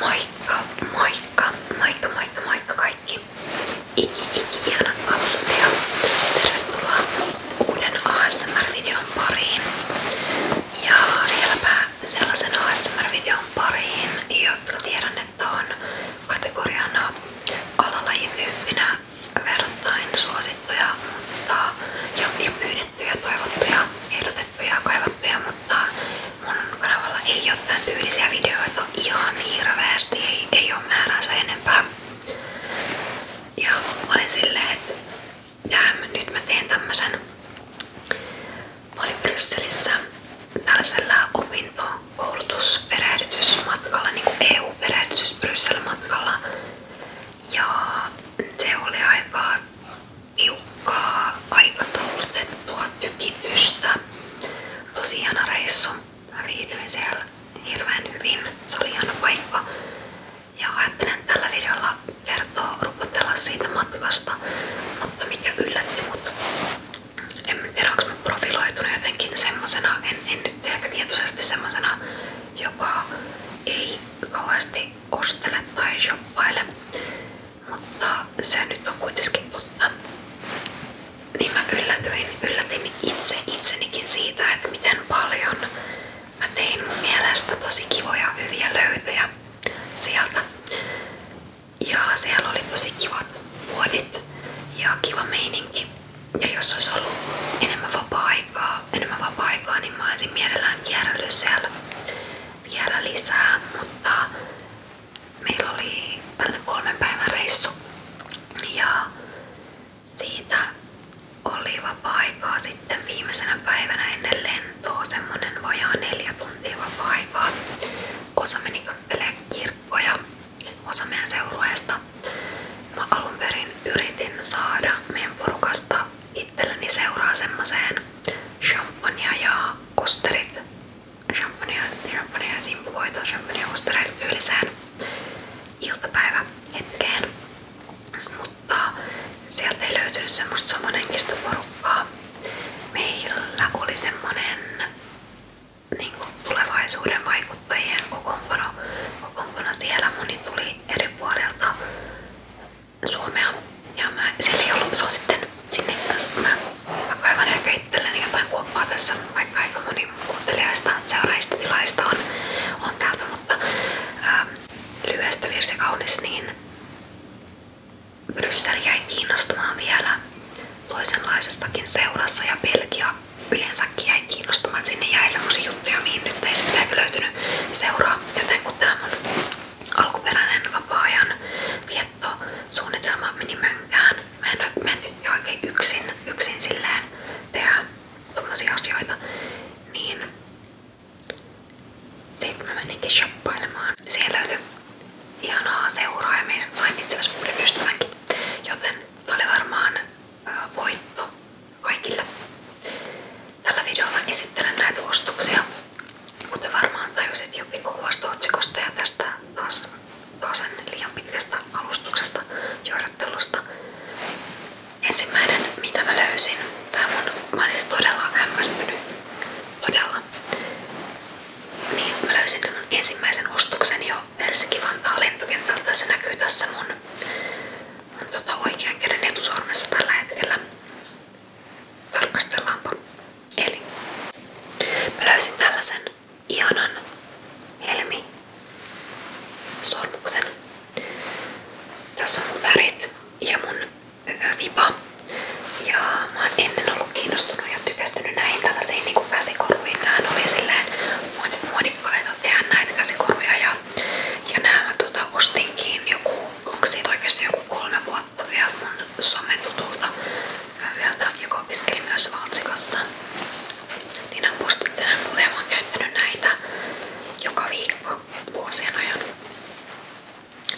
Moikka, moikka, moikka, moikka, moikka kaikki. Iki, iki, ihanat vapsut ja tervetuloa uuden ASMR-videon pariin. Ja vieläpä sellaisen ASMR-videon pariin, jotka tiedän, että on kategoriana alalajityyppinä verrattain suosittuja, mutta ja, ja pyydettyjä tehtyjä, toivottuja, ehdotettuja, kaivattuja, mutta mun kanavalla ei ole tämän tyylisiä videoita ihan hirveästi, ei, ei ole määränsä enempää. Ja mä olin silleen, että jäämme, nyt mä teen tämmösen. Mä olin Brysselissä tällaisella opintokoulutusperehdytysmatkalla, niin EU-perehdytys Bryssel matkalla. Ja se oli aika tiukkaa aikataulutettua tykitystä. Tosi hieno reissu. Mä viihdyin siellä hirveän hyvin. Se oli hieno paikka. Ja ajattelen tällä videolla kertoa, rupotella siitä matkasta, mutta mikä yllätti mut. En tiedä, onko mä profiloitunut jotenkin semmosena, en, en nyt ehkä tietoisesti semmosena, joka ei kauheasti ostele tai shoppaile. Mutta se nyt on kuitenkin totta. Niin mä yllätyin, yllätin itse itsenikin siitä, että miten paljon mä tein mun mielestä tosi kivoja hyviä löytöjä sieltä. Ja siellä oli tosi kivat vuodit ja kiva meininki. Ja jos olisi ollut enemmän vapaa-aikaa, vapaa niin mä olisin mielellään kierrellyt siellä vielä lisää, mutta meillä oli tällainen kolmen päivän reissu ja siitä oli vapaa-aikaa sitten viimeisenä päivänä ennen lentoa semmonen vajaa neljä tuntia vapaa-aikaa. Osa meni kattelee kirkkoja, osa meidän seurueesta. Mä alun perin yritin saada meidän porukasta itselleni seuraa semmoseen champagnea ja osterit, champagnea, champagnea ja simpuloita, champagnea ostereita tyyliseen iltapäivähetkeen. Mutta sieltä ei löytynyt semmoista samanhenkistä porukkaa. Meillä oli semmonen niin kuin tulevaisuuden vaikuttajien kokoonpano, kokoonpano siellä. Moni tuli eri puolilta suomea. Ja mä, sillä ei ollut, se on sitten sinne kanssa. Mä, mä kaivan ehkä itselleni jotain kuoppaa tässä, vaikka aika moni kuuntelijaista, seuraajista, tilaista on, on täältä, mutta ähm, lyhyestä virsi kaunis, niin Bryssel jäi kiinnostamaan vielä toisenlaisessakin seurassa ja Belgia yleensäkin jäi kiinnostamaan. Sinne jäi semmosia juttuja, mihin nyt ei sitten löytynyt seuraa, joten kun tää mun alkuperäinen vapaa-ajan viettosuunnitelma meni mönkään. Mä en, mä en tykkää yksin, yksin silleen tehdä tommosia asioita. Niin sitten mä meninkin shoppailemaan. Siellä löytyi ihanaa seuraa ja mä sain itse asiassa uuden ystävänkin. Joten tää varmaan ää, voitto Tällä videolla esittelen näitä ostoksia. Mutta varmaan tajusit jo pikkuvasta otsikosta ja tästä taas, taas liian pitkästä alustuksesta, joidottelusta. Ensimmäinen, mitä mä löysin, tää mun, mä oon siis todella hämmästynyt, todella. Niin, mä löysin mun ensimmäisen ostoksen jo Helsinki-Vantaan lentokentältä. Se näkyy tässä mun, mun tota, oikean käden etusormessa tällä hetkellä. Tarkastellaanpa. Eli mä löysin tällaisen ihanan helmi sormuksen. Tässä on mun värit ja mun vipa. Ja mä oon ennen ollut kiinnostunut ja tykästynyt näihin tällaisiin niin kuin käsikoruihin. Nähän oli silleen muodikkaita tehdä näitä käsikoruja. Ja, ja nämä mä tota, ostinkin joku, onko siitä oikeasti joku kolme vuotta vielä mun sometutulta. Hyvä vielä joka opiskeli myös Valtsikassa. Niin hän muistutti tänne mulle näitä joka viikko vuosien ajan.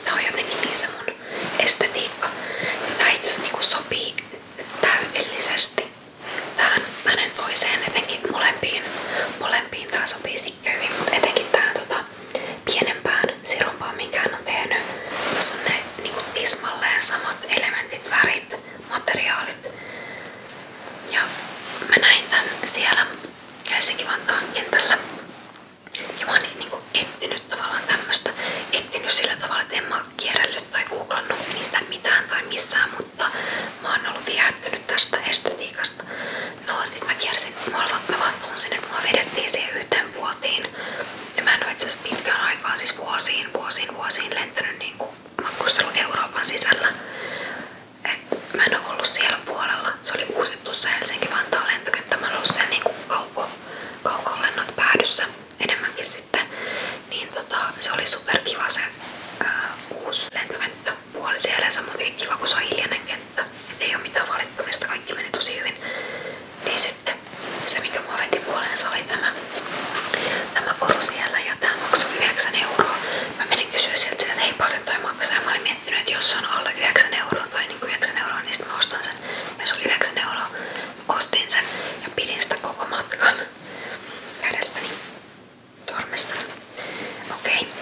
Tää on jotenkin niin mun estetiikka. Tää itse asiassa niinku sopii täydellisesti tähän hänen toiseen, etenkin molempiin. Molempiin tää sopii sikkeä hyvin, mutta etenkin tähän tota, pienempään sirumpaa, minkä hän on tehnyt. Tässä on ne niinku tismalleen samat elementit, värit, materiaalit. Ja mä näin tän siellä Helsinki Vantaan kentällä. Ja mä oon niin kuin ettinyt tavallaan tämmöstä. ettinyt sillä tavalla, että en mä kierrellyt tai googlannut mistä mitään tai missään, mutta mä oon ollut viehättynyt tästä estetiikasta. No sit mä kiersin, mä vaan tunsin, että mä vedettiin siihen yhteen vuoteen Helsinkiin. Ja mä en oo itseasiassa pitkään aikaan, siis vuosiin, vuosiin, vuosiin lentänyt niin matkustelu Euroopan sisällä. Et mä en oo ollut siellä puolella. Se oli uusittu se Helsinki-Vantaan lentokenttä. Mä oon ollut siellä niinku kaukolennot päädyssä enemmänkin sitten. Niin tota, se oli superkiva se ää, uusi lentokenttä. Puoli siellä ja se on kiva, kun se on hiljainen kenttä. Et ei ole mitään valittamista, kaikki meni tosi hyvin niin sitten se mikä mua veti puoleensa tämä, tämä koru ja tämä maksoi 9 euroa. Mä menin kysyä sieltä, hei paljon toi maksaa ja on alle 9 euroa tai niin 9 euroa, niin sitten ostan sen. Ja se oli 9 ostin sen ja pidin sitä koko matkan kädessäni tormestani. Okei.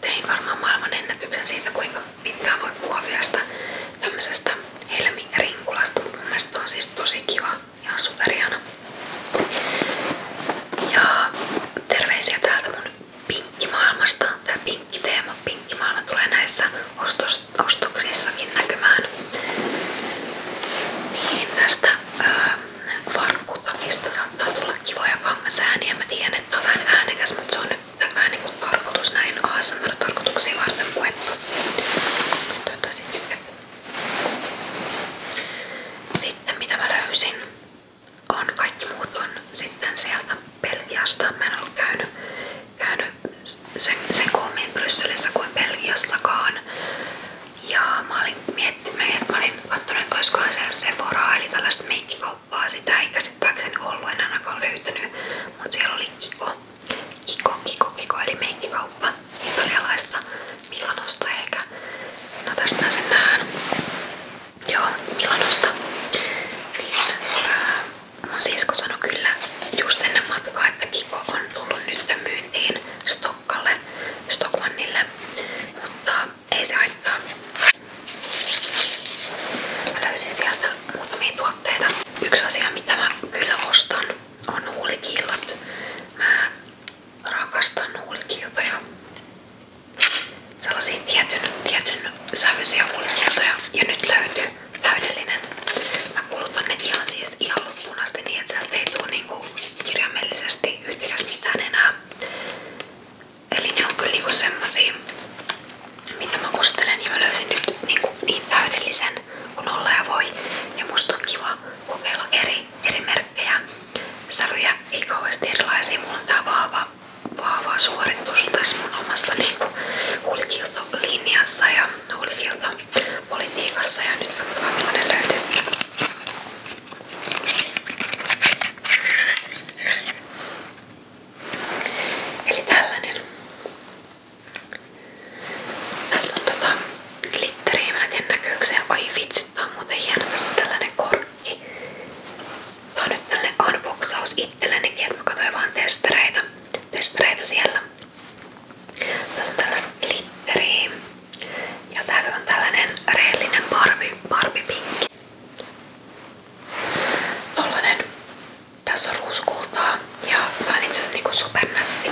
Tein varmaan maailman ennätyksen siitä kuinka pitkään voi puhua vielä sitä tämmöisestä mutta mun on siis kiva ja on Ja terveisiä täältä mun pinkkimaailmasta. Tää pinkkiteema, pinkkimaailma tulee näissä ostoksissakin näkymään. Niin tästä öö, varkkutakista saattaa tulla kivoja kangasääniä. Mä tiedän, että on vähän äänekäs, mutta se on tämä niinku karkotus näin ASMR-tarkoituksiin varten puettu. Toivottavasti tykkää. Sitten mitä mä löysin on kaikki muut sitten sieltä Belgiasta. Mä en ollut sen, sen koomiin Brysselissä kuin Belgiassakaan. Ja mä olin miettinyt, mä olin katsonut, että olisikohan siellä Sephoraa eli tällaista make verkkokauppaa. Sitä ei käsittääkseni ollut, en ainakaan löytänyt, mutta siellä oli Kiko. Kiko, Kiko, Kiko eli meikkikauppa. Italialaista Milanosta ehkä. No tästä sen nähdään. Joo, Milanosta. Niin, ää, mun sisko sanoi kyllä just ennen matkaa, että Kiko on tullut nyt myyntiin Stokkalle, Stockmannille. Mutta ei se haittaa. Mä löysin sieltä muutamia tuotteita. Yksi asia mitä mä kyllä ostan on huulikiillot. Mä rakastan huulikiiltoja. Sellaisia tietyn, tietyn sävyisiä huulikiiltoja. Ja nyt löytyy täydellinen. Mä kulutan ne ihan siis ihan loppuun asti niin, että sieltä ei tuu niinku kirjaimellisesti yhtikäs mitään enää. Eli ne on kyllä niinku semmosia mitä mä kostelen ja niin mä löysin nyt niin, kuin niin täydellisen kun olla ja voi. Ja musta on kiva kokeilla eri, eri merkkejä. Sävyjä ei kauheasti erilaisia. Mulla on tää vahva, vahva suoritus tässä mun omassa niin huulikiltolinjassa ja huulikiltopolitiikassa. Ja nyt katsotaan millainen löytyy. Eli tällainen. Tässä on tota glitteriä, mä en tiedä näkyykö se. Ai vitsi, tää on muuten hieno. Tässä on tällainen korkki. Tää on nyt tällainen unboxaus itsellenikin, että mä katsoin vaan testereitä, testereitä siellä. Tässä on tällaista glitteriä. Ja sävy on tällainen reellinen Barbie, Barbie pinkki. Tollanen tässä on ruusukultaa ja tää on itse asiassa niinku supernätti.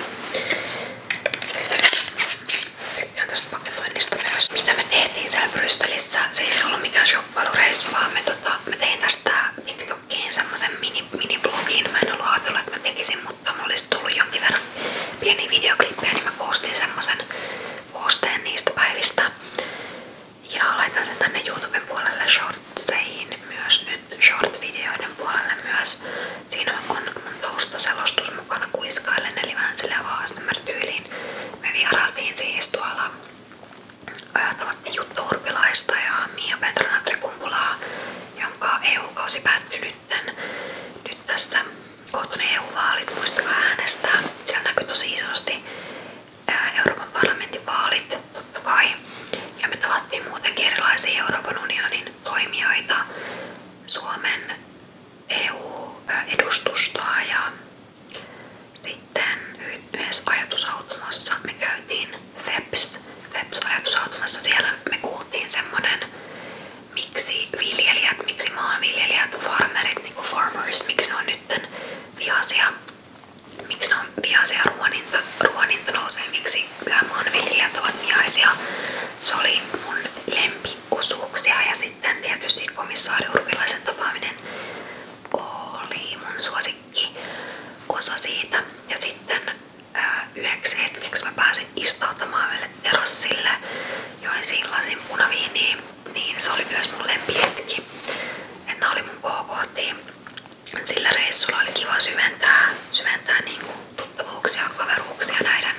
Tykkään tästä paketoinnista myös. Mitä me tehtiin siellä Brysselissä, se ei siis ollut mikään shoppailureissu, vaan me, tota, mä tein tästä TikTokiin semmoisen mini, mini-blogin. Mä en ollut ajatellut, että mä tekisin, mutta mulla olisi tullut jonkin verran pieniä videoklippejä, niin mä koostin semmoisen koosteen niistä päivistä. Ja laitan sen tänne YouTuben puolelle shortseihin myös nyt short-videoiden puolelle myös. Siinä on mun taustaselostus mukana kuiskaillen eli vähän sille ASMR-tyyliin. Me vierailtiin siis tuolla tavattiin Jutta Urpilaista ja Mia Petrana Trekumpulaa, jonka EU-kausi päättyi nytten. Nyt tässä kohta EU-vaalit, muistakaa äänestää. Siellä näkyy tosi isosti Euroopan parlamentin vaalit totta Ja me tavattiin muutenkin erilaisia Euroopan unionin toimijoita, Suomen EU-edustustoa ja sitten yhdessä ajatusautomassa me FEPS, FEPS-ajatusautomassa. Siellä me kuultiin semmonen, miksi viljelijät, miksi maanviljelijät, farmerit, niinku farmers, miksi nytten vihaisia miksi ne on vihaisia ruoninta, ruoninta nousee, miksi maanviljelijät ovat vihaisia. Se oli mun lempiosuuksia ja sitten tietysti komissaari Urpilaisen tapaaminen oli mun suosikki osa siitä. Ja sitten ää, yhdeksi hetkeksi mä pääsin istautumaan yölle terassille, join sillasin punaviiniin, niin se oli myös mun lempihetki. Että oli mun KKT. Sillä reissulla oli kiva syventää, syventää niin kuin tuttavuuksia, kaveruuksia näiden,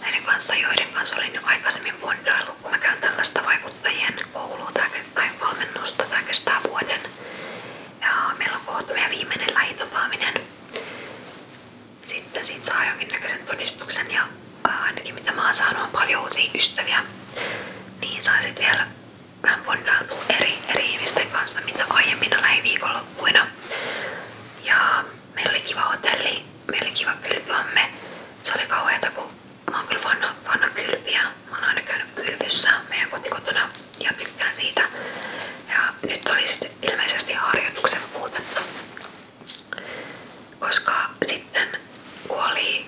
näiden kanssa, joiden kanssa olin jo aikaisemmin bondaillut, kun mä käyn tällaista vaikuttajien koulua tai valmennusta. Tämä kestää vuoden. Ja meillä on kohta meidän viimeinen lähitapaaminen. Sitten siitä saa jonkinnäköisen todistuksen ja ainakin mitä mä oon saanut on paljon uusia ystäviä. Niin saisit vielä vähän bondautuu eri, eri ihmisten kanssa, mitä aiemmina lähiviikonloppuina. Ja meillä oli kiva hotelli, meillä oli kiva kylpyamme. Se oli kauheata, kun mä oon kyllä vanna, vanna kylpiä. Mä oon aina käynyt kylvyssä meidän kotikotona ja tykkään siitä. Ja nyt oli sitten ilmeisesti harjoituksen puutetta. Koska sitten kun oli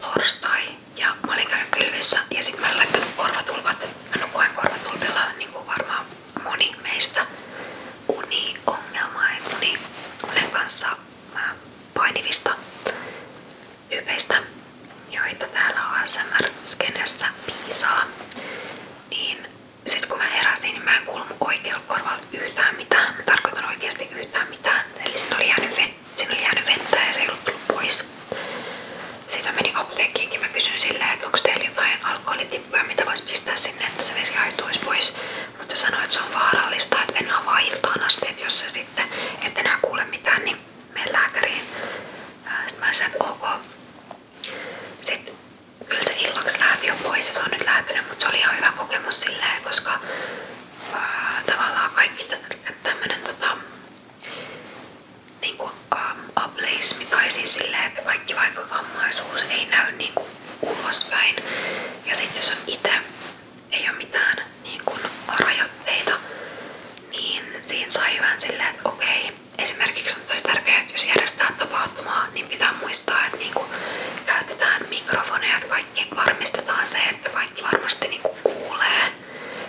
torstai ja mä olin käynyt kylvyssä ja sit mä en laittanut korvatulpat. Mä nukuin korvatulpilla niin kuin varmaan moni meistä uni että uni, unen kanssa mä painivista ypeistä, joita täällä ASMR-skenessä piisaa. Niin sit kun mä heräsin, niin mä en kuullut oikealla korvalla yhtään mitään. Mä tarkoitan oikeasti yhtään mitään. Eli sit oli jäänyt vettä Siinä oli jäänyt vettä ja se ei ollut tullut pois. Sitten mä menin apteekkiinkin mä kysyin silleen, että onko teillä jotain alkoholitippuja, mitä voisi pistää sinne, että se vesi haituisi pois. Mutta se sanoi, että se on vaarallista, että mennään vaan iltaan asti, että jos se sitten, et enää kuule mitään, niin mene lääkäriin. Sitten mä olisin, että ok. Sitten kyllä se illaksi lähti jo pois ja se on nyt lähtenyt, mutta se oli ihan hyvä kokemus silleen, koska ää, tavallaan kaikki tämmönen tota, niinku, um, ableismi tai siis silleen, että kaikki vaikka vammaisuus ei näy niinku, ulospäin. Ja sitten jos on itse, ei ole mitään niinku, rajoitteita, niin siinä sai hyvän silleen, että okei, esimerkiksi on tosi tärkeää, että jos järjestää tapahtumaa, niin pitää muistaa, että niinku, käytetään mikrofoneja, että kaikki varmistetaan se, että kaikki varmasti niinku, kuulee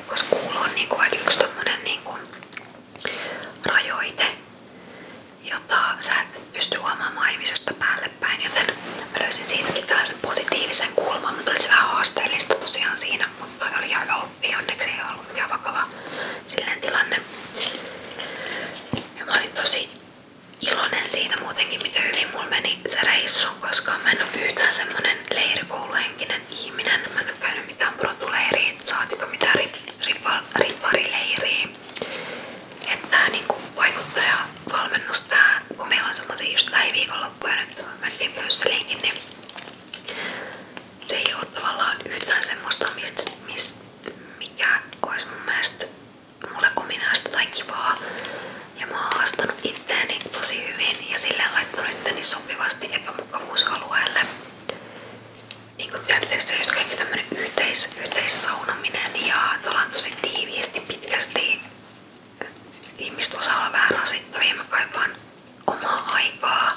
koska kuulo on niinku aika yksi tommonen niinku rajoite, jota sä et pysty päälle päin, joten mä löysin siitäkin tällaisen positiivisen kulman, mutta oli se vähän haasteellista tosiaan siinä, mutta oli ihan hyvä oppia, onneksi vakava silleen tilanne. Ja tosi iloinen siitä muutenkin, miten hyvin mulla se reissu, koska mä en oo yhtään semmonen leirikouluhenkinen ihminen. Mä en oo käynyt mitään protuleiriin, saatiko mitään ripparileiriin. Että tää niinku vaikuttaja valmennus tää, kun meillä on semmosia just lähiviikonloppuja nyt mentiin Brysseliinkin, niin se ei oo tavallaan yhtään semmoista, mist, mist, mikä olisi mun mielestä mulle ominaista tai kivaa. Ja mä oon haastanut itteeni tosi hyvin ja sillä laittanut itteni sopivasti epämukavuusalueelle. Niin kuin tiedätte, just kaikki tämmönen yhteis, yhteissaunaminen ja ollaan tosi tiiviisti, pitkästi eh, ihmiset osaa olla vähän rasittavia. Mä kaipaan omaa aikaa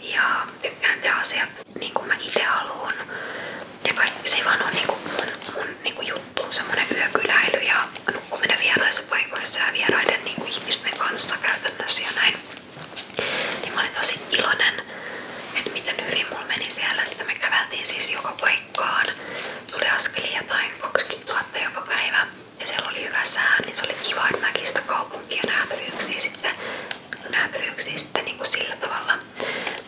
ja tykkään tehdä asiat niin kuin mä itse haluan. Ja kaikki, se ei vaan ole niin kuin mun, mun niin kuin juttu, semmonen yökyläily ja kun menen vieraissa paikoissa ja vieraiden niin kuin ihmisten kanssa käytännössä ja näin, niin mä olin tosi iloinen, että miten hyvin mulla meni siellä, että me käveltiin siis joka paikkaan. Tuli askeli jotain 20 000 joka päivä ja siellä oli hyvä sää, niin se oli kiva, että näki sitä kaupunkia nähtävyyksiä sitten, nähtävyyksiä sitten niin kuin sillä tavalla.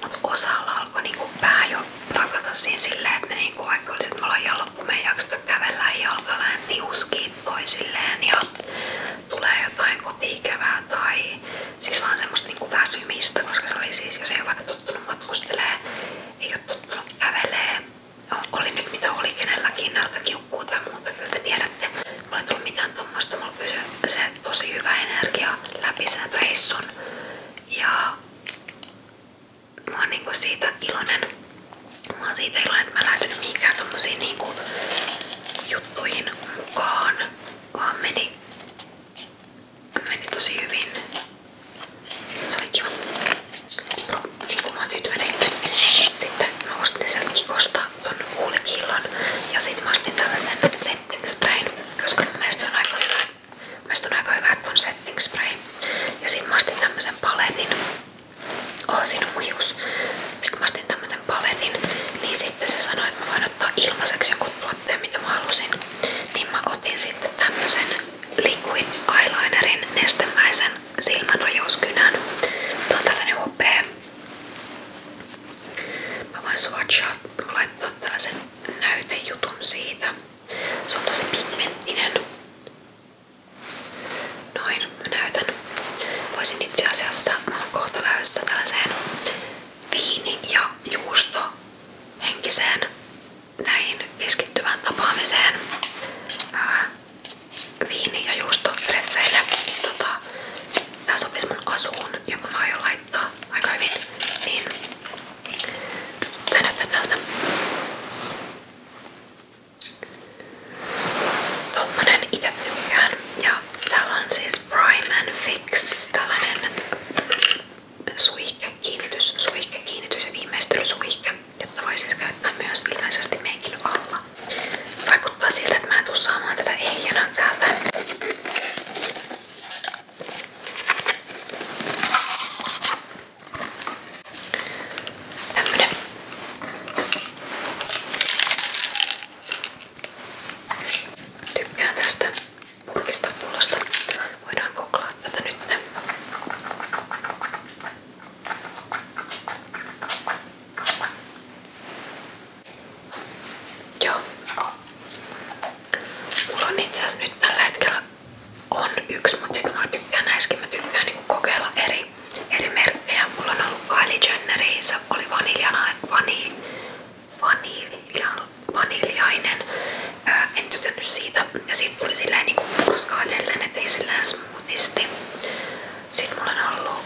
Mutta osalla alkoi niin kuin pää jo rakata siinä silleen, että niin kuin vaikka olisi, että me ollaan ja me ei jakseta kävellä ja jalka vähän tiuskii viikkoisilleen ja tulee jotain kotiikävää tai siis vaan semmoista niinku väsymistä, koska se oli siis, jos ei ole vaikka tottunut matkustelee, ei ole tottunut kävelee, no, oli nyt mitä oli kenelläkin, nälkäkiukkuu tai muuta, kyllä te tiedätte. Mulla ei tullut mitään tuommoista, mulla pysyi se tosi hyvä energia läpi sen reissun ja mä oon niinku siitä iloinen. Mä oon siitä iloinen, että mä lähden mihinkään tommosiin niinku juttuihin mukaan. Vaan meni, meni tosi hyvin. Se oli kiva. Niinku mä oon tyytyväinen. Sitten mä ostin sieltä Kikosta ton huulikillon ja sit mä ostin tällaisen setting sprayn, koska mun mielestä on aika hyvä. Mielestäni on aika hyvä, että on setting spray. Ja sit mä ostin tämmösen paletin. Oh, siinä on mun hius. Sitten mä astin tämmösen paletin, niin sitten se sanoi, että mä voin ottaa ilmaiseksi joku tuotteen, mitä mä halusin. Niin mä otin sitten tämmösen liquid eyelinerin nestemäisen silmänrajouskynän. Tää on tällainen hopea. Mä voin swatchaa, laittaa tällaisen näytejutun siitä. Se on tosi pigmenttinen. Noin, mä näytän. Voisin itse asiassa, mä oon kohta lähdössä tällaiseen viini- ja juustohenkiseen näihin keskittyvään tapaamiseen. Ää, viini- ja juustotreffeille. Tota, tää sopisi mun asuun, jonka mä aion laittaa aika hyvin. Niin, tää näyttää tältä. Tommonen itse tykkään. Ja täällä on siis Prime and Fix, tällainen suihke, kiinnitys, suihke, kiinnitys ja viimeistelysuihke, jotta voi siis käyttää myös ilmeisesti meikin alla. Vaikuttaa siltä, että mä en tuu saamaan tätä ehjänä täältä. Tämmönen. Tykkään tästä purkista pullosta. Voidaan koklaa tätä nyt. Joo. Mulla on itse nyt tällä hetkellä on yksi, mutta sit mä tykkään näissäkin. Mä tykkään niinku kokeilla eri eri merkkejä. Mulla on ollut Kylie Jennereissä, oli vaniljana, vani, vanilja, vaniljainen. Ää, en tykännyt siitä. Ja siitä tuli silleen niinku murskaa edelleen, ettei silleen smoothisti. Sit mulla on ollut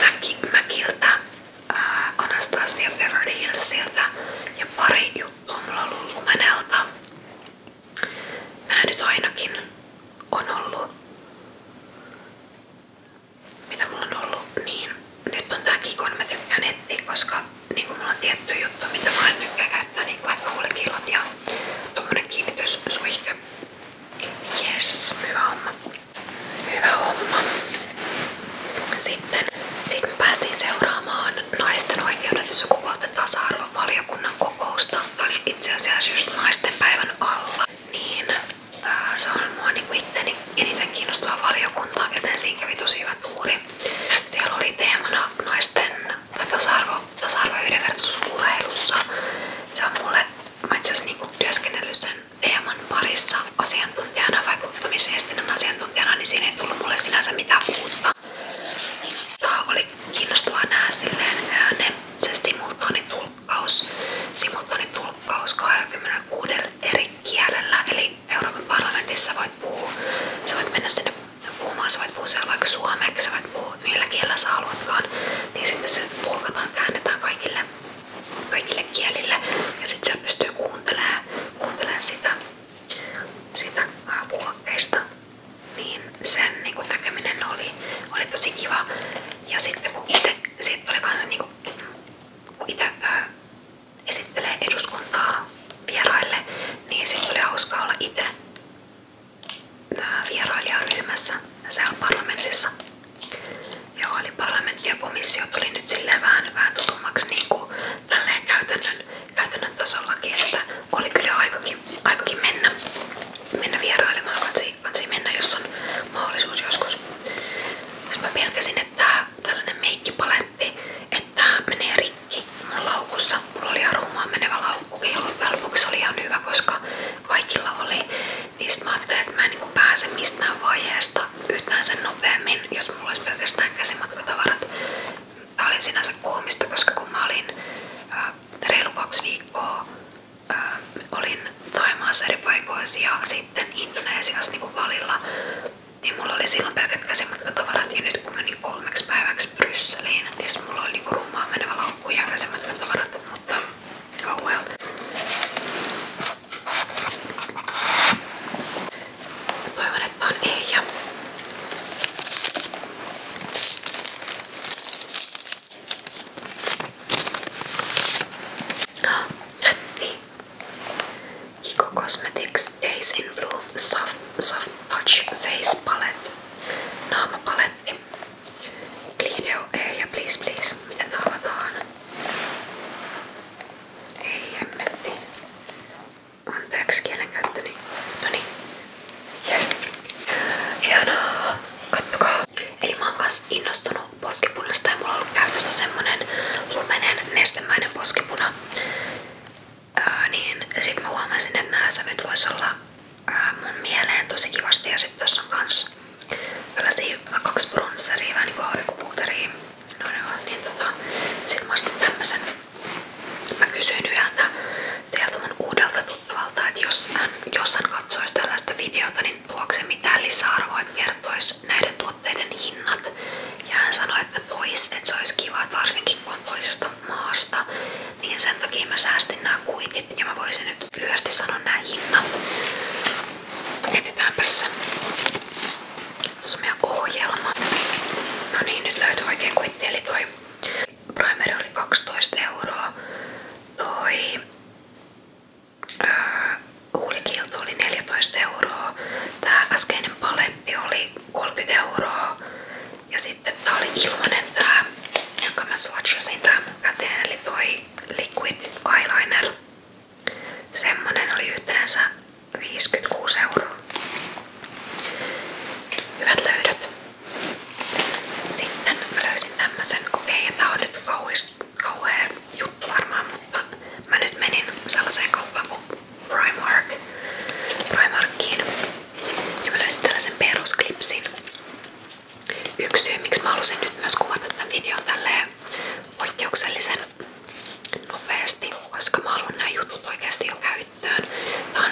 Mäki, Mäkiltä, ää, Anastasia Beverly Hillsiltä ja pari juttua mulla on ollut Lumenelta nyt ainakin on ollut. Mitä mulla on ollut, niin nyt on tää Kikon mä koska niinku mulla on tietty juttu, mitä mä käyttää, niin vaikka huulikilot ja tommonen kiinnityssuihke. Yes, hyvä homma. Hyvä homma. Sitten sit me päästiin seuraamaan naisten oikeudet ja sukupuolten tasa-arvo valiokunnan kokousta. Oli itse asiassa just naisten päivän alla. Niin ää, äh, se on mua niinku itteni eniten kiinnostava valiokunta, joten siinä kävi tosi hyvä tuuri. Siellä oli teemana naisten äh, tasa-arvo, tasa-arvo yhdenvertaisuus urheilussa. Se on mulle, mä itse asiassa niinku työskennellyt sen teeman parissa asiantuntijana, vaikuttamisviestinnän asiantuntijana, niin siinä ei tullut mulle sinänsä mitään uutta. Tämä oli kiinnostavaa nähdä silleen ne, se simultaanitulkkaus, simultaanitulkkaus 26 eri kielellä. Eli Euroopan parlamentissa voit puhua, sä voit mennä sinne puhumaan, sä voit puhua siellä vaikka suomeksi, sä voit puhua millä kielellä sä haluatkaan, niin sitten se tulkataan, käännetään kaikille, kaikille kielille ja sitten siellä pystyy kuuntelemaan, kuuntelemaan sitä, sitä puhokkeista niin sen niin niinku näkeminen oli, oli tosi kiva. Ja sitten kun itse, sit oli kanssa niinku, kun itse esittelee eduskuntaa vieraille, niin sitten oli hauskaa olla itse vierailijaryhmässä siellä parlamentissa. ja oli parlamentti ja komissio tuli nyt silleen vähän, vähän tutummaksi niinku, tälleen käytännön, käytännön tasollakin, että oli kyllä aikakin, aikakin mennä, mennä vierailemaan, katsi, katsi mennä, jos on mahdollisuus joskus. Jos mä pelkäsin, että tää, tällainen meikkipaletti, että tää menee rikki mun laukussa. Mulla oli arumaan menevä laukkukin, jolloin lopuksi oli ihan hyvä, koska kaikilla oli. Niin sit mä ajattelin, että mä en niinku pääse mistään vaiheesta yhtään sen nopeammin, jos mulla olisi pelkästään käsimatkatavarat. Tää oli sinänsä koomista, koska kun mä olin ää, reilu kaksi viikkoa olin Taimaassa eri paikoissa ja sitten Indonesiassa niin valilla, niin mulla oli silloin pelkät käsimatkatavarat ja nyt kun menin kolmeksi päiväksi Brysseliin, niin mulla oli niinku rummaan menevä laukku ja käsimatkatavarat, mutta oh well. Toivon, että on ei. Jätti. Niin. Kiko Cosmetics Days in Blue Soft, soft Touch Face Palette. Naamapaletti. Glideo E ja Please Please. Miten tää avataan? Ei emmetti. Anteeksi kielenkäyttöni. Noniin. Yes. Hienoa. Kattokaa. Eli mä oon kans innostunut poskipunasta ja mulla on ollut käytössä semmonen lumenen nestemäinen poskipuna. Öö, niin sit mä huomasin, että nämä sävyt vois olla öö, mun mieleen tosi kivasti ja sit tässä on kans tällaisia kaksi bronsseria, vähän niinku aurinkopuuteria. No joo, niin tota, sit mä ostin tämmösen. Mä kysyin yhdeltä sieltä mun uudelta tuttavalta, että jos hän, jos hän katsoisi tällaista videota, niin tuoko se mitään lisäarvoa, että kertoisi näiden tuotteiden hinnat. Ja hän sanoi, että tois, että se olisi kiva, että varsinkin kun on toisesta maasta, niin sen takia mä säästin nämä kuitit ja mä voisin nyt lyhyesti sanoa nämä hinnat. Etetäänpäs se. Tuossa on meidän ohjelma. No niin, nyt löytyy oikein kuitti, eli toi primeri oli 12 euroa, toi ää, äh, huulikiilto oli 14 euroa, tää äskeinen paletti oli 30 euroa ja sitten tää oli ilmanen tää, jonka mä swatchasin tää mun käteen, eli toi liquid eyeliner. Semmonen oli yhteensä 56 euroa. Hyvät löydöt. Sitten mä löysin tämmösen, okei okay, tää on nyt mutta nyt menin sellaiseen kauppaan Primark, Primarkiin ja mä löysin tällaisen perusklipsin. Yksi miksi mä nyt myös kuvata tämän videon tälleen poikkeuksellisen nopeasti, koska mä haluan nämä jutut oikeasti jo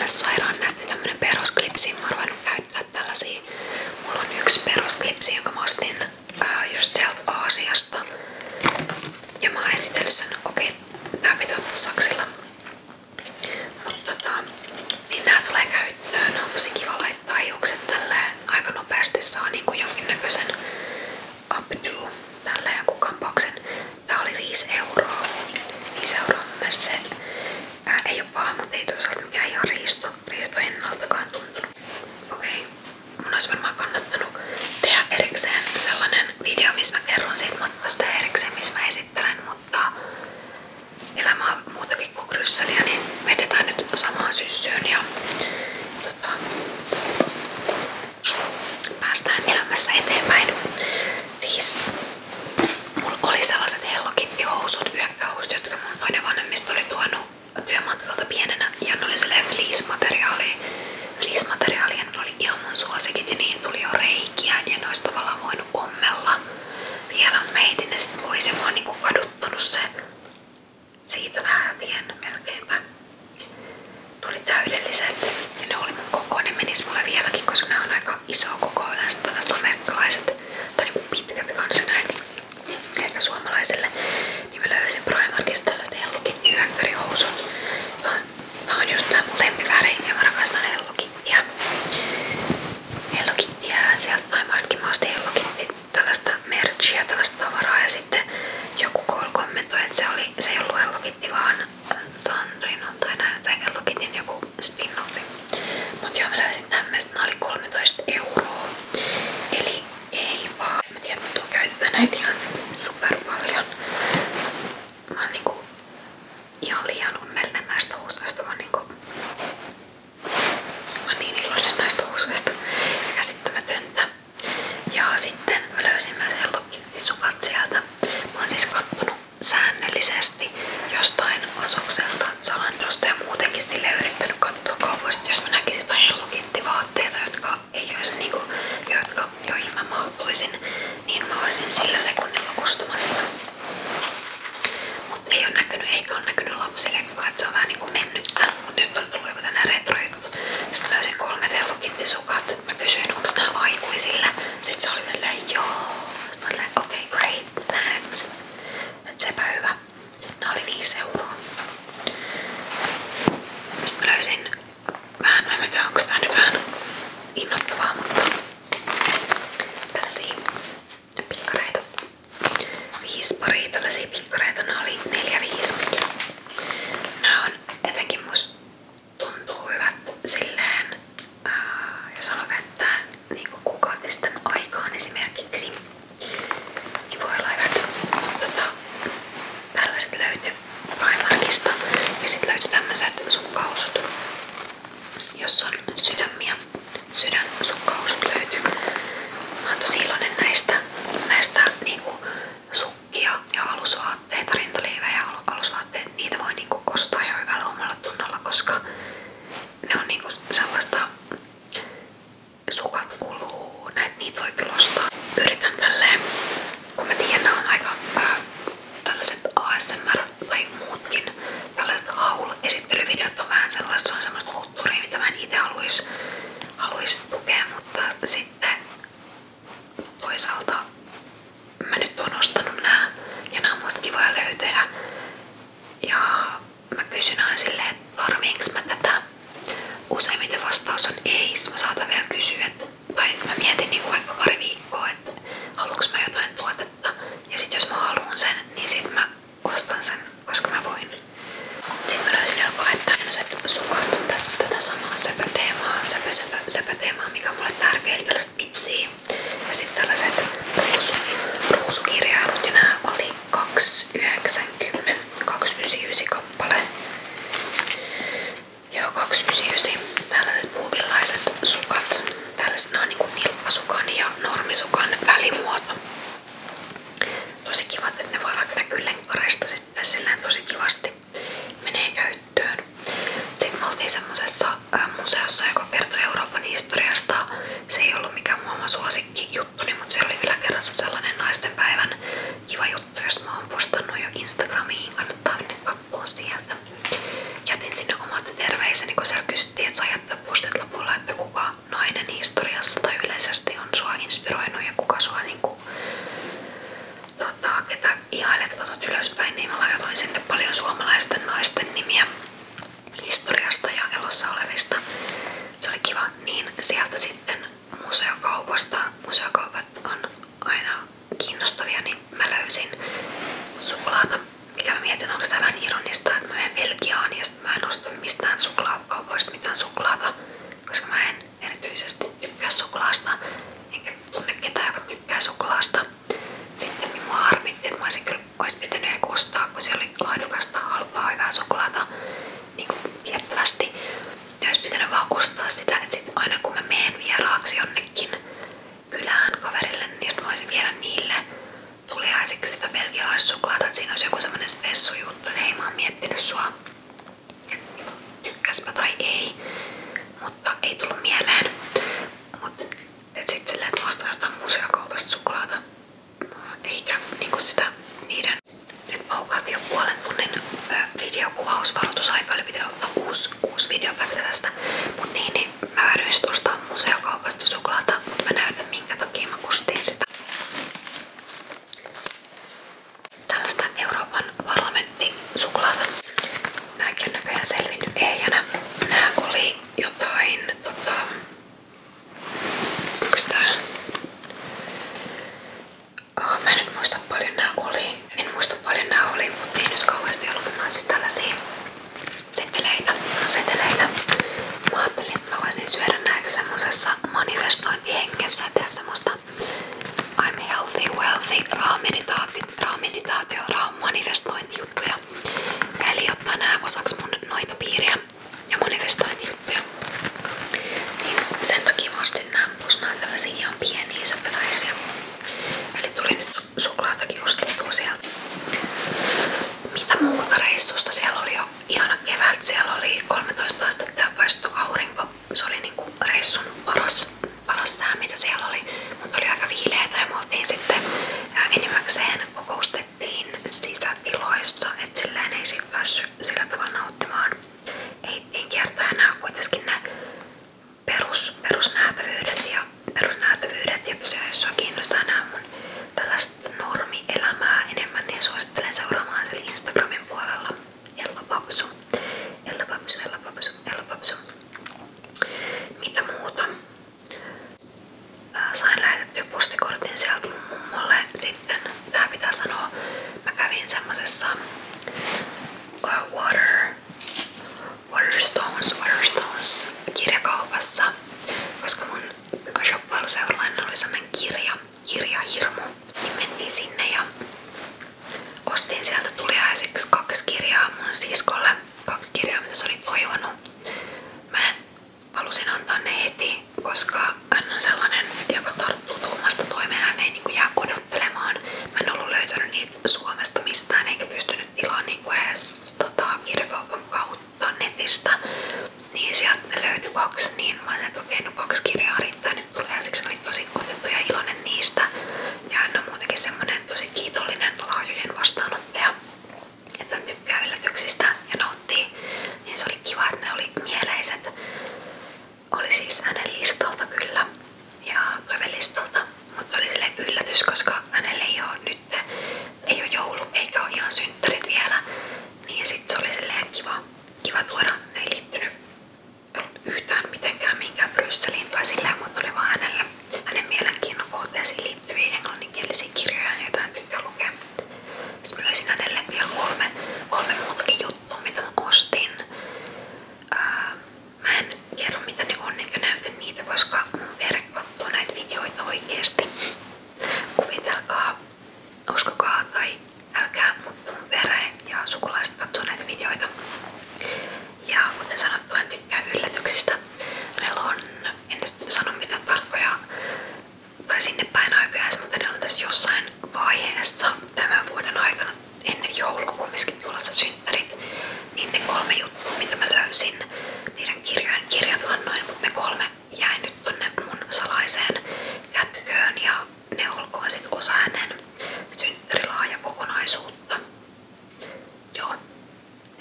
sairaan nätti tämmönen perusklipsi, mä oon käyttää käyttävät tällaisia. Mulla on yksi perusklipsi, jonka mä ostin ää, just sieltä Aasiasta. Ja mä oon esitellyt sen, okei, okay, tää pitää ottaa saksilla. Mutta tota, niin nää tulee käyttöön. Nää on tosi kiva laittaa hiukset tälleen. Aika nopeasti saa niinku jonkinnäköisen updo ja joku kampauksen. Tää oli 5 euroa. 5 euroa myös se. Ää, ei oo paha, mutta ei toisaalta mikään ihan riisto eipä ennaltakaan tuntunut. Okei, okay. mun olisi varmaan kannattanut tehdä erikseen sellainen video, missä mä kerron siitä matkasta ja erikseen, missä mä esittelen, mutta elämä on muutakin kuin krysseliä, niin vedetään nyt samaan syssyyn ja tota, päästään elämässä eteenpäin. Siis Mulla oli sellaiset hellokittihousut, yökkähousut, jotka mun toinen vanhemmista oli tuonut työmatkalta pienenä ja ne oli silleen fleece-materiaalia. Fleece-materiaalia ne oli ihan mun suosikit ja niihin tuli jo reikiä ja ne olisi tavallaan voinut ommella vielä. Mä heitin ne sit pois ja mä oon niinku kaduttanut se siitä lähtien melkeinpä. Tuli täydelliset ja ne oli mun koko, ne menis mulle vieläkin, koska ne on aika iso koko yleensä tällaiset amerikkalaiset tai niinku pitkät kanssa näin. Ehkä suomalaiselle. Niin mä löysin Primarkista tällaista Hello Kitty housut. Tää on just tää mun lempiväri ja mä rakastan Hello Kittyä. Hello Kittyä sieltä Taimaastakin mä ostin Hello Kitty tällaista merchia, tällaista tavaraa ja sitten joku koulu kommentoi, että se, oli, se ei ollut Hello Kitty vaan Sandrino tai näin, tai Hello Kittyn joku joku spin-offi. Niin, mut joo mä löysin tämmöistä, ne oli 13 euroa. Eli ei vaan. Mä tiedän, mä tuun näitä ihan super paljon. Mä oon niinku liian onnellinen näistä housuista. Mä oon niinku... Mä niin iloinen näistä housuista. Käsittämätöntä. Ja sitten mä löysin myös helpokki sukat sieltä. Mä siis kattonut säännöllisesti oikeesti jostain asokselta, salandosta ja muutenkin sille yrittänyt katsoa jos mä näkisin jotain Hello vaatteita ei olisi niinku, jotka, joihin mä niin mä olisin sillä sekunnilla ostamassa. Mut ei oo näkynyt, eikä oo näkynyt lapsille, että se vähän niinku mennyttä. Mut nyt on tullut joku tänne retrojuttu. Sitten löysin kolme Hello sukat. kysyin, onks aikuisille. se oli tälleen, joo. Sitten okei, okay, great, thanks. Et sepä hyvä. Nää oli 5 löysin vähän, mä en tiedä onko tää nyt vähän innoittavaa, mutta tällaisia pikkareita. Viisi paria tällaisia pikkareita, nää oli 4,50. Nää on jotenkin musta tuntuu hyvät silleen, ää, jos haluaa käyttää niin kuukautta sitten aikaan esimerkiksi. Niin voi olla hyvät tota, tällaiset löytyi Primarkista ja sitten löytyi tämmöiset sukkausut, jossa on sydämiä. Sydän sukkausut löytyy. Mä oon tosi iloinen näistä, näistä niinku, sukkia ja alusvaatteita, rintaliivejä ja alusvaatteita. Niitä voi niinku, ostaa jo hyvällä omalla tunnolla, koska ne on niinku, sellaista sukat kuluu, näitä niitä voi kyllä ostaa. Yritän tälleen, kun mä tiedän, on aika ää, tällaiset ASMR tai muutkin tällaiset haul-esittelyvideot on vähän sellaista, se on semmoista kulttuuria, mitä mä en itse haluais, haluais tukea, mutta sitten toisaalta mä nyt oon ostanut nää ja nää on musta kivoja löytöjä ja mä kysyn aina silleen, että tarviinko mä tätä. Useimmiten vastaus on ei, mä saatan vielä kysyä, että, tai mä mietin niinku vaikka pari viikkoa, että haluanko mä jotain tuotetta. Ja sit jos mä haluan sen, niin sit mä ostan sen, koska mä voin. Sitten mä löysin jopa, että tämmöiset sukat, tässä on tätä samaa söpöteemaa, söpö, söpö, söpöteemaa, mikä on mulle tärkeä, tällaiset vitsiä. Ja sitten tällaiset ruusu, ruusukirjailut ja nää oli 2,90 2,99 kappale Joo 2,99 Tällaiset puuvillaiset sukat Tällaiset nämä on niinku nilppasukan ja normisukan välimuoto Tosi kivat, että ne voi vaikka näkyy lenkkareista sitten silleen tosi kivasti menee käyttöön. Sitten me oltiin semmosessa museossa, joka kertoi Euroopan historiasta. Se ei ollut mikään maailman suosikki juttuni, mutta se oli vielä kerrassa sellainen naisten päivän kiva juttu, jos mä oon postannut jo Instagramiin, kannattaa mennä katsoa sieltä. Jätin sinne omat terveiseni, kun siellä kysyttiin, että saa jättää postit lopulla, että kuka nainen historiassa tai yleisesti on sua inspiroinut ja kuka sua niinku, tota, ketä ihailet katot ylöspäin, niin mä laitoin sinne paljon suomalaisten naisten nimiä historiasta ja elossa olevista. Se oli kiva. Niin sieltä sitten museokaupasta, museokaupat on aina kiinnostavia, niin mä löysin suklaata. Ja mä mietin, onko tämä vähän ironista, että mä menen Belgiaan ja sit mä en osta mistään suklaakaupoista mitään suklaata, koska mä en erityisesti tykkää suklaasta, enkä tunne ketään, joka tykkää suklaasta. Sitten minua harmitti, että mä olisin kyllä olisi pitänyt ehkä ostaa, kun siellä oli laadukasta, halpaa, hyvää suklaata niin viettävästi. Ja olisi pitänyt vaan ostaa sitä, että sit aina kun mä menen vieraaksi jonnekin kylään kaverille, niin sit mä voisin viedä niille tuliaiseksi sitä belgialaissuklaata, että siinä olisi joku semmonen vessujuttu, että ei mä oon miettinyt sua, tykkäspä tai ei, mutta ei tullut mieleen. Mut et sit silleen, että mä ostan jostain museokaupasta suklaata eikä kuin niinku sitä niiden... Nyt paukaat jo puolen tunnin videokuvausvaroitusaika, eli pitää ottaa uusi, uusi videopätkä tästä. Mut niin, niin mä vääryin sit ostaa museokaupasta suklaata, mut mä näytän minkä takia mä kustiin sitä. Tällaista Euroopan parlamentti suklaata. Nääkin on näköjään selvinnyt ehjänä. Nää oli tota- Onks oh, mä nyt muista paljon nää oli. En muista paljon nää oli, mutta ei nyt kauheasti ollut, mutta siis tällaisia seteleitä, seteleitä. Mä ajattelin, että mä voisin syödä näitä semmosessa manifestointihengessä, tehdä semmoista I'm healthy, wealthy, raameditaatio, raameditaatio, raam manifestointijuttuja. Eli ottaa nää osaksi noita piiriä ja manifestointijuttuja. Niin sen takia mä ostin nää tällaisia pieniä sopilaisia. Eli tuli nyt suklaatakin ostettua sieltä. Mitä muuta reissusta? Siellä oli jo ihana oli 13 astetta ja paistu aurinko. Se oli niinku reissun paras, paras mitä siellä oli. Mutta oli aika viileetä ja me sitten enimmäkseen kokousta nostettiin sisätiloissa, että silleen ei sit päässyt sillä tavalla nauttimaan. Ei kertaa enää kuitenkin ne perus, perusnähtävyydet ja perusnähtävyydet ja jos kiinnostaa nämä mun tällaista normielämää enemmän, niin suosittelen seuraamaan siellä Instagramin puolella Ella Papsu. Ella Papsu, Ella Papsu, Ella Papsu. Mitä muuta? Äh, sain lähetettyä postikortin sieltä mun mummolle sitten. Tää pitää sanoa, mä kävin semmosessa äh, water, Waterstones, Waterstones kirjakaupassa, koska mun shoppailuseuralainen oli sellainen kirja, kirjahirmu. Niin mentiin sinne ja ostin sieltä tuliaiseksi kaksi kirjaa mun siskolle. Kaksi kirjaa, mitä se oli toivonut. Mä halusin antaa ne heti, koska hän on sellainen, joka tarttuu tuomasta toimeen, hän ei niin jää odottelemaan. Mä en ollut löytänyt niitä Suomesta mistään eikä pystynyt tilaan niin edes tota, kirjakaupan kautta netistä. Niin sieltä me löytyi kaksi, niin mä ajattelin, että okei, okay, no kaksi kirjaa riittää nyt tulee, siksi mä olin tosi otettu ja iloinen niistä. Ja hän on muutenkin semmonen tosi kiitollinen laajojen vastaanottaja että tykkää yllätyksistä ja nauttii, niin se oli kiva, ne oli mieleiset. Oli siis hänen kyllä ja listoilta, mutta oli sille yllätys, koska hänelle ei ei oo joulu eikä oo ihan synttärit vielä, niin sit se oli silleen kiva, kiva tuoda. Ne ei yhtään mitenkään minkään Brysseliin tai silleen, mutta oli vaan hänelle, hänen mielenkiinnon kohteeseen liittyviä englanninkielisiä kirjoja, joita en tykkää lukea. Sitten mä löysin hänelle vielä kolme, kolme muutakin juttua, mitä mä ostin. Ää, mä en kerro mitä ne on enkä näytä niitä, koska mun vere katsoo näitä videoita oikeesti. Kuvitelkaa, uskokaa tai älkää, mutta mun vere ja sukulaiset katsoo näitä videoita. Ja kuten sanottu, en tykkää yllätyksistä. Hänellä on, en nyt sano mitään tarkkoja tai sinne päin aikajansa, mutta ne on jossain vaiheessa tämän vuoden aikana ennen joulua kumminkin tulossa synttärit, niin ne kolme juttua, mitä mä löysin niiden kirjojen kirjat annoin, mutta ne kolme jäi nyt tonne mun salaiseen kätköön ja ne olkoon sit osa hänen synttärilaaja kokonaisuutta. Joo,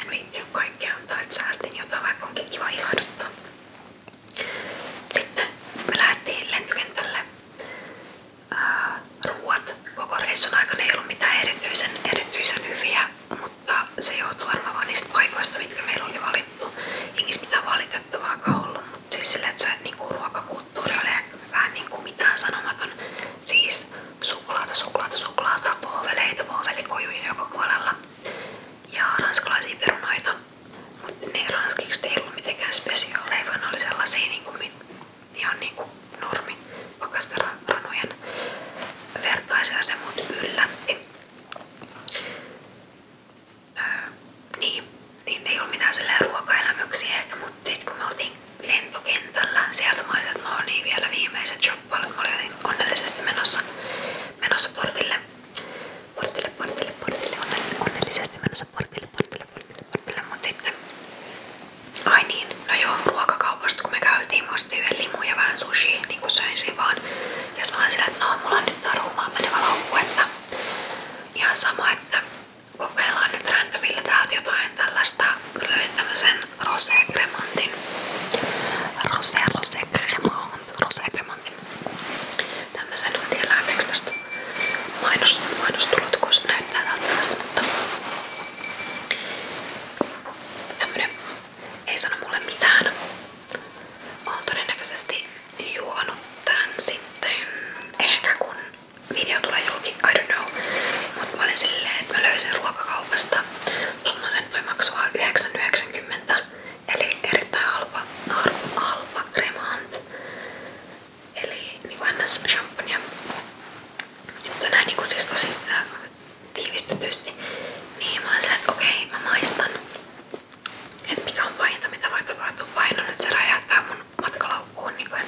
en viittinyt kaikkea antaa, että säästin jotain, vaikka onkin kiva ilahduttaa. Sitten me lähdettiin lentokentälle. Ää, ruuat koko reissun aikana ei ollut mitään erityisen, erityisen hyviä, mutta se joutui varmaan vaan niistä paikoista, mitkä meillä oli valittu. Ei niissä mitään valitettavaakaan ollut, mutta siis sillä, että se niinku, ruokakulttuuri oli vähän niinku, mitään sanomaton. Siis suklaata, suklaata, suklaata, pohveleita, pohvelikojuja joka puolella ja ranskalaisia perunoita. Mutta ne ranskiksi ei ollut mitenkään spesiaaleja, vaan ne oli sellaisia niinku, ihan niinku normi pakastaranojen vertaisia se mut yllätti. niin, niin ei ollut mitään silleen ruokaelämyksiä ehkä, mutta sit kun me lentokentällä, sieltä mä olin, että no niin vielä viimeiset shoppailut, mä olin onnellisesti menossa, menossa portille portille, portille, portille, onnellisesti menossa portille, portille, portille, portille, mut sitten niin. no joo, ruokakaupasta kun me käytiin, mä ostin yhden vähän sushi, niin kuin söin siinä vaan. mä olin sillä, että no, mulla on nyt tää ruumaan menevä laukku, nyt randomilla täältä jotain tällaista. Löin tämmösen rosé cremantin. Rosé, rosé cremant, rosé cremant. Tämmösen, en tiedä lähteekö tästä mainos, mainostulot, kun se näyttää tältä mutta tämmönen ei sano mulle mitään. Mä oon todennäköisesti juonut tän sitten ehkä kun video tulee julki, I don't know. Mut mä olin silleen, että mä löysin ruokakaupasta tommosen, voi maksaa 9,90 Eli erittäin halpa, halpa, halpa kremant. Eli niin ns. shampoonia. Mutta näin niin siis tosi äh, tiivistetysti. Niin mä olen että okei, okay, mä maistan. Et mikä on pahinta, mitä voi tapahtua. Paino nyt se räjähtää mun matkalaukkuun. Niin kuin, et,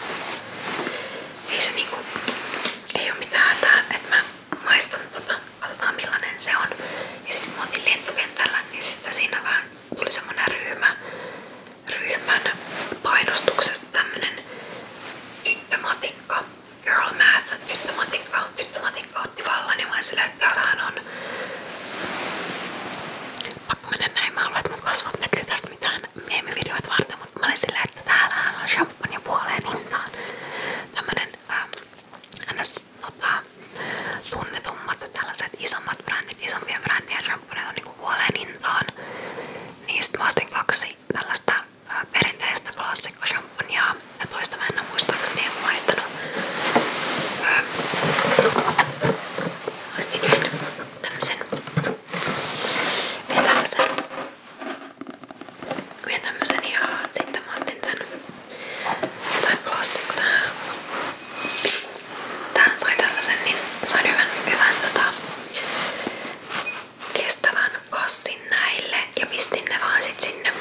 ei se niinku, ei oo mitään hätää, että mä maistan tota katsotaan millainen se on. Ja sitten kun otin lentokentällä, niin sitten siinä vähän tuli semmonen ryhmä, ryhmän painostuksesta tämmönen tyttömatikka, girl math, tyttömatikka, tyttömatikka otti vallan ja sillä, että on pakko mennä näin, mä haluan, että mun kasvot näkyy tästä mitään meemivideoita varten, mutta mä olin sillä, että täällähän on champagne puoleen hintaan tämmönen ähm, ns tota, tunnetummat tällaiset isommat brändit, isompien brändien shampooneet on niinku kuoleen hintaan. Niin sit mä ostin kaksi tällaista ää, perinteistä klassikkoshamponia ja toista mä en oo muistaakseni edes maistanut. Öö, ostin yhden tämmösen, ja tällaisen, yhden tämmösen ja sitten mä ostin tän Tää klassikko tää. Tää sai tällaisen, niin sain hyvän, hyvän tota, kestävän kassin näille ja pistin ne vaan sit sinne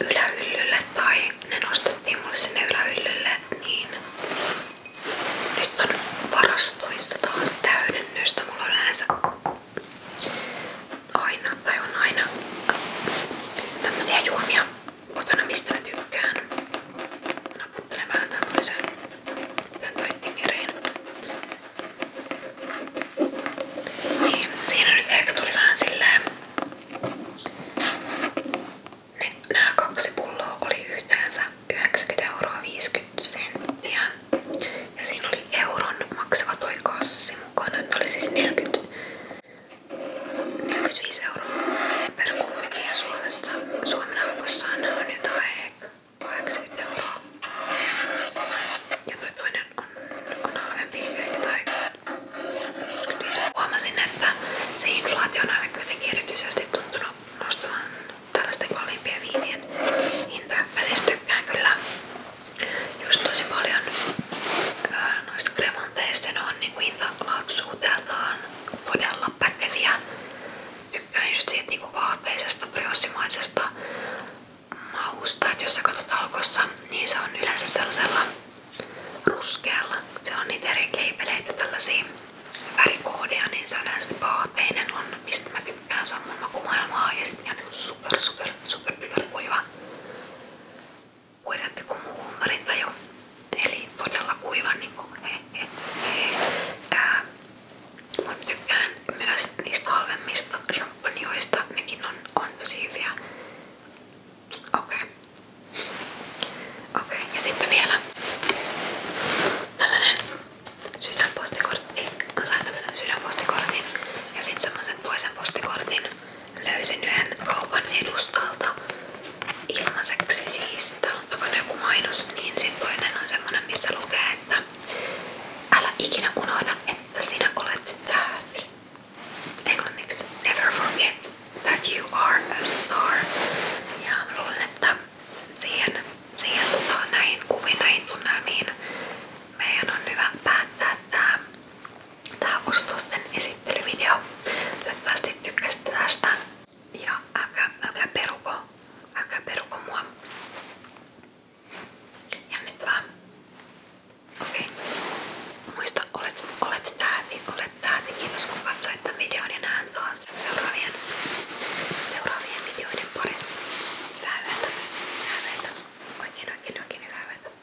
ylähyllylle tai ne nostettiin mulle sinne ylähyllylle, niin nyt on varastoissa taas täydennystä. Mulla on yleensä aina, tai on aina tämmösiä juomia kotona mistä mä tykkään. Naputtelen vähän tämmöisen tämän whitingerin. Niin, siinä nyt ehkä tuli vähän silleen. Ne, nämä kaksi pulloa oli yhteensä 90 euroa 50 senttiä. Ja siinä oli euron maksava toi kassi mukana, että oli siis 40 45 euroa per kulki ja Suomessa, Suomen aukossaan on jotain 80 euroa. Ja toi toinen on, on halvempi tai 25. Huomasin, että se inflaatio on aina kuitenkin erityisesti tuntunut nostavan tällaisten kalliimpien viinien hintoja. Mä siis tykkään kyllä just tosi paljon Öö, noista kremonteista ne on niinku hintalaatuisuudeltaan todella päteviä. Tykkään just siitä niinku vaahteisesta, briossimaisesta mausta, että jos sä katsot alkossa, niin se on yleensä sellaisella ruskealla. Siellä on niitä eri leipeleitä, tällaisia värikoodeja, niin se yleensä vaahteinen on, mistä mä tykkään, se on mun makumaailmaa ja sitten on super super super, super kuiva kuivempi kuin muu jo. Eli todella kuiva niin kuin he, he, he. Ää, Mut tykkään myös niistä halvemmista champanjoista, nekin on, on tosi hyviä. Okei. Okay. Okei, okay. ja sitten vielä tällainen sydänpostikortti. Mä sain tämmösen sydänpostikortin ja sitten semmosen toisen postikortin. Löysin yhden kaupan edustalta ilmaiseksi siis. Täällä on takana joku mainos, niin sit toinen on semmonen missä lukee, että älä ikinä unohda, että sinä olet tähti. Englanniksi. Never forget that you are a star. Ja mä luulen, että siihen, siihen tota, näihin kuviin, näihin tunnelmiin meidän on hyvä päättää tää tää ostosten esittelyvideo. Toivottavasti tykkäsitte tästä ja älkää, älkää peruko, älkää peruko mua. Jännittävää. Okei. Muista, olet, olet tähti, olet tähti. Kiitos kun katsoit tämän videon ja näen taas seuraavien, seuraavien videoiden parissa. Hyvää yötä. Hyvää yötä. Oikein oikein oikein hyvää yötä.